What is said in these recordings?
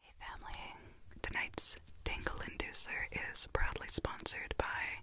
Hey family, tonight's Tingle Inducer is proudly sponsored by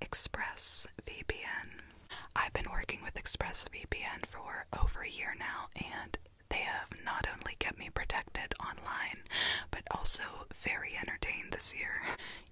ExpressVPN. I've been working with ExpressVPN for over a year now, and they have not only kept me protected online, but also very entertained this year.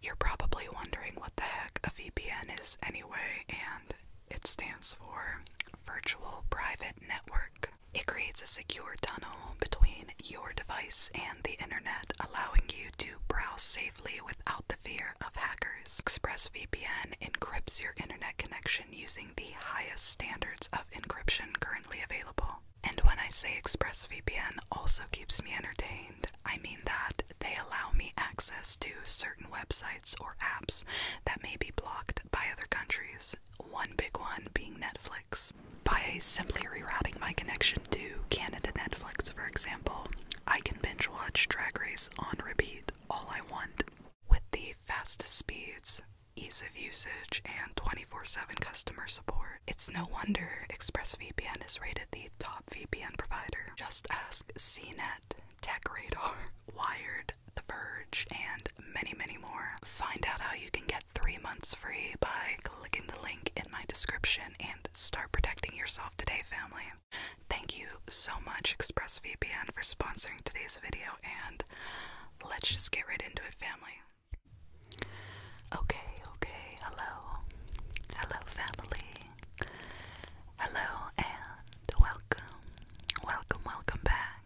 You're probably wondering what the heck a VPN is anyway, and it stands for Virtual Private Network. It creates a secure tunnel between your device and the internet, allowing you to browse safely without the fear of hackers. ExpressVPN encrypts your internet connection using the highest standards of encryption currently available. And when I say ExpressVPN also keeps me entertained, I mean that they allow me access to certain websites or apps that may be blocked by other countries one big one being Netflix. By simply rerouting my connection to Canada Netflix, for example, I can binge watch Drag Race on repeat all I want. With the fastest speeds, ease of usage, and 24 7 customer support, it's no wonder ExpressVPN is rated the top VPN provider. Just ask CNET, TechRadar, Wired, the Verge, and many, many more. Find out how you can get three months free by clicking the link in my description and start protecting yourself today, family. Thank you so much, ExpressVPN, for sponsoring today's video, and let's just get right into it, family. Okay, okay, hello. Hello, family. Hello, and welcome. Welcome, welcome back.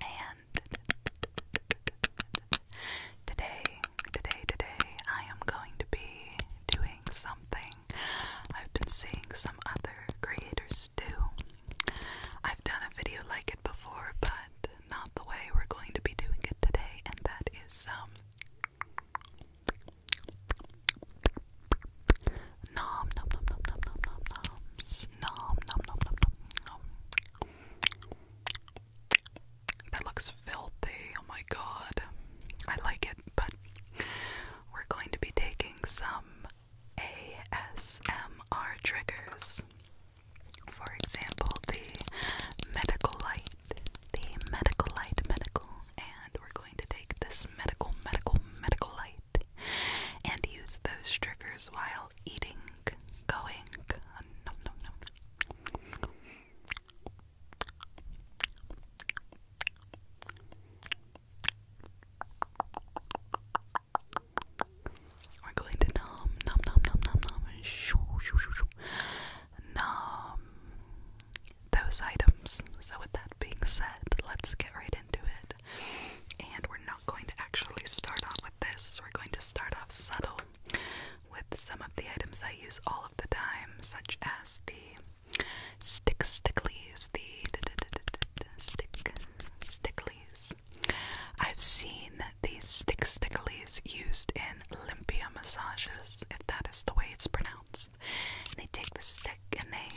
And today, today, today, I am going to be doing something I've been seeing some other creators do. I've done a video like it before, but not the way we're going to be doing it today, and that is Um, Nom nom nom nom nom nom nom nom. That looks filthy. Oh my god. I like it, but we're going to be taking some ASMR triggers. For example, the medical light. The medical light medical. And we're going to take this medical, medical, medical light and use those triggers while eating, going. Nom, going to nom nom nom nom nom nom shoo those items. So with that being said, let's get right into it yet. And we're not going to actually start off with this. We're going to start off subtle with some of the items I use all of the time, such as the stick sticklies, the stick sticklies. I've seen these stick sticklies used in limpia massages, if that is the way it's pronounced. they take the stick and they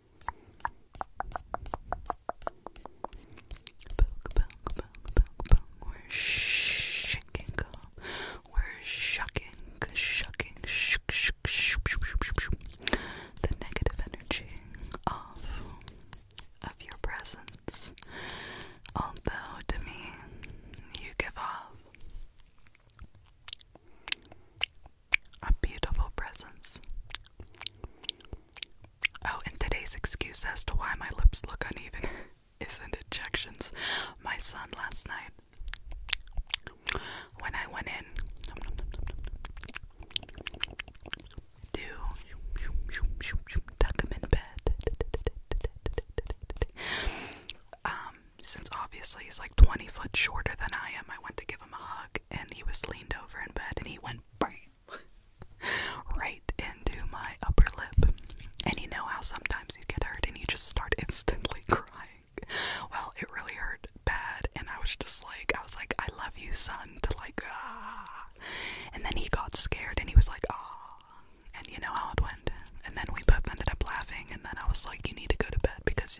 Poke, poke, poke, poke, We're shaking, we're shocking, shocking, shook, shook, shook, shook, shook, shook, shook. the negative energy of of your presence. Although to me, you give off a beautiful presence. Oh, and today's excuse as to why my lips look uneven isn't injections. My son last night, when I went in to tuck him in bed, um, since obviously he's like 20 foot shorter than I am, I went to give him a hug and he was leaned over in bed and he went bam right into my upper lip. And you know how sometimes you get hurt and you just start instantly crying. Well, it really hurt bad and I was just like I was like, I love you son to like ah and then he got scared and he was like ah and you know how it went. And then we both ended up laughing and then I was like, You need to go to bed because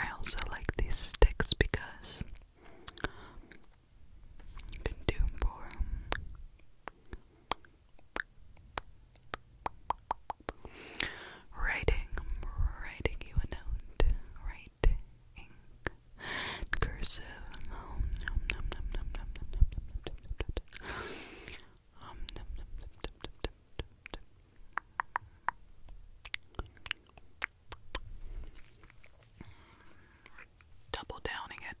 I also like these sticks because you can do for Writing, writing you a note, writing, cursive, um, nom nom nom nom nom nom nom nom nom nom um, nom nom nom nom nom nom Double downing it.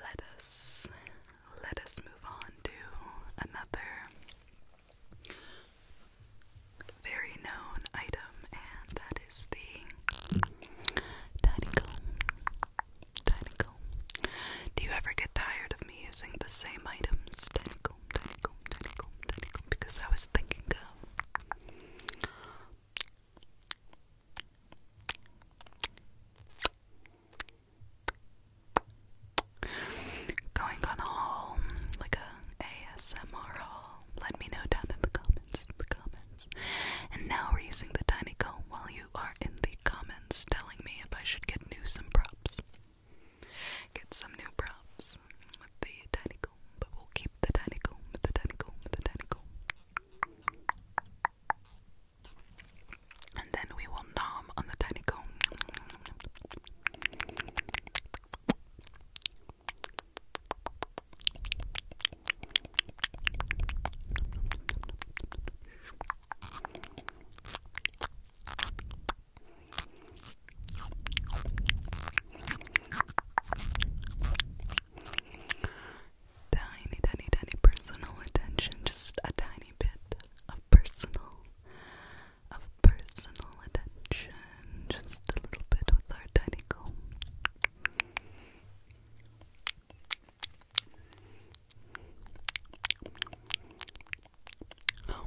Let us let us move on to another very known item, and that is the tiny comb. Tiny comb. Do you ever get tired of me using the same items? Tiny comb, tiny comb, tiny comb, tiny comb. Because I was thinking of going on a haul, like a ASMR haul. Let me know down in the comments, the comments. And now we're using the tiny comb while you are in the comments telling me if I should get new some props. Get some new props with the tiny comb, but we'll keep the tiny comb, the tiny comb, the tiny comb. And then we will nom on the tiny comb tiny, tiny, tiny personal attention, just a tiny bit of personal, of personal attention, just a little bit with our tiny comb. Oh.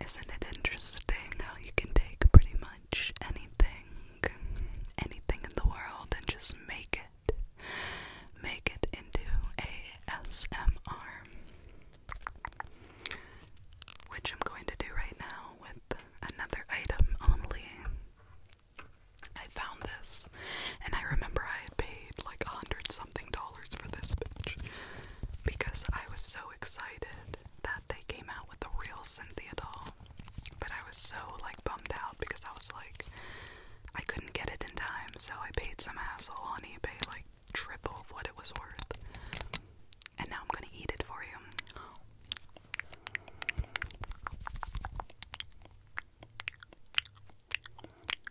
Isn't it interesting how you can take pretty much anything, anything in the world, and just make it, make it into a SMR, which I'm going to do right now with another item only. I found this, and I remember I had paid like a hundred something dollars for this bitch because I was so excited that they came out with the real Cynthia doll. But I was so like bummed out because I was like I couldn't get it in time, so I paid some asshole on eBay like triple of what it was worth. And now I'm gonna eat it for you.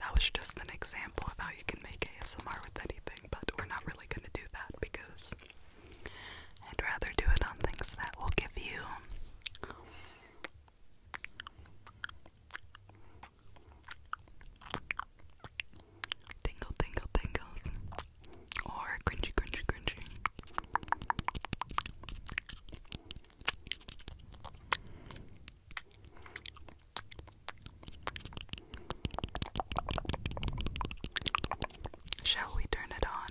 That was just an example of how you can make ASMR with anything, but we're not really going to do that because I'd rather do it on things that will give you tingle, tingle, tingle, or crunchy, crunchy, crunchy. Shall we turn it on?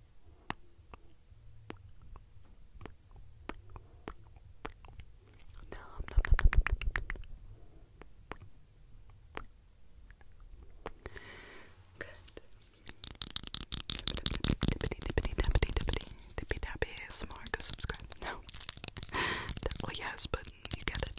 Nom, nom, nom, nom, nom, nom, nom. Good. Dippity, dippity, dippity, dippity, dippity, dappy ASMR, go subscribe now. well, yes, but you get it.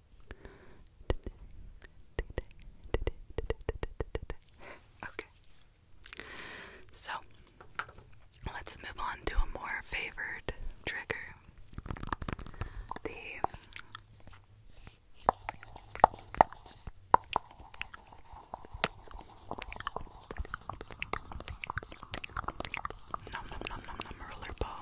Okay. So let's move on to a more favored trigger. The Nom nom nom nom nom ball.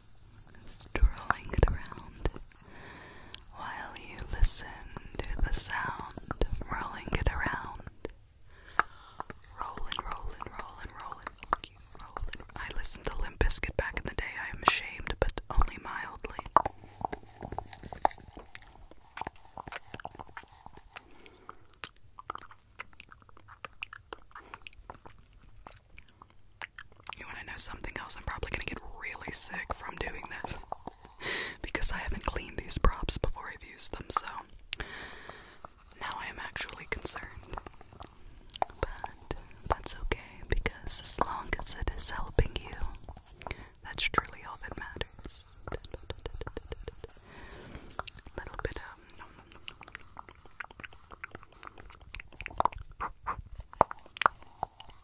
strolling it around while you listen to the sound rolling it around. rolling, rolling, rolling, rolling, rolling. I listened to Limp Bizkit back in the day, I am ashamed, but only mildly. You want to know something else? I'm probably going to get really sick from doing this because I haven't cleaned these props before I've used them, so now I am actually concerned. But that's okay because as long as it is helping you, that's truly all that matters. A little bit of.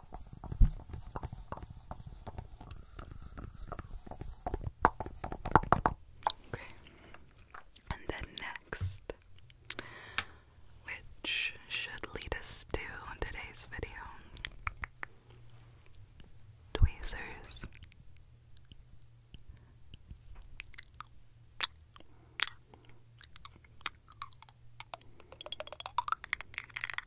And then next, which should lead us to today's video tweezers.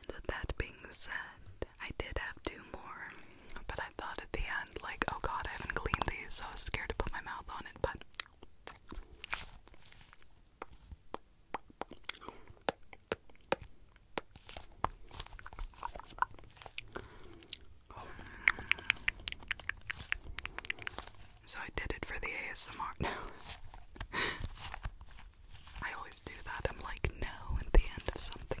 And with that being said, I did have two more but I thought at the end, like, oh god, I haven't cleaned these, so I was scared to put my mouth on it, but. So I did it for the ASMR I always do that. I'm like, no, at the end of something.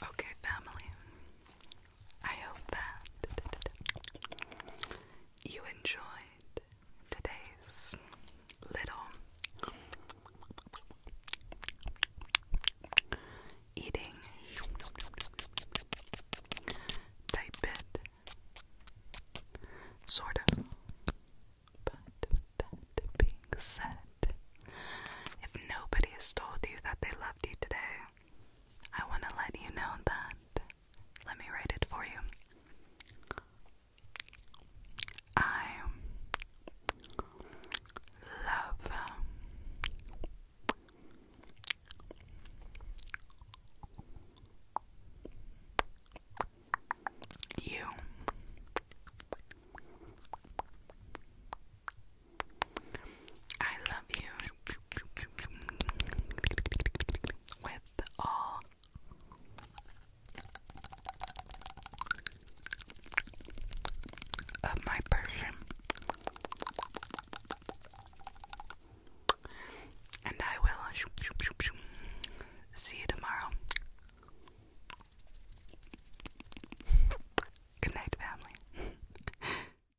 Okay, family. I hope that you enjoyed today's little eating type bit. Sort of. But that being said, if nobody has told you that they loved you today, I want to let you know that let me write it for you. I love um, you. I love you with all of my person, and I will see you tomorrow. Good night, family.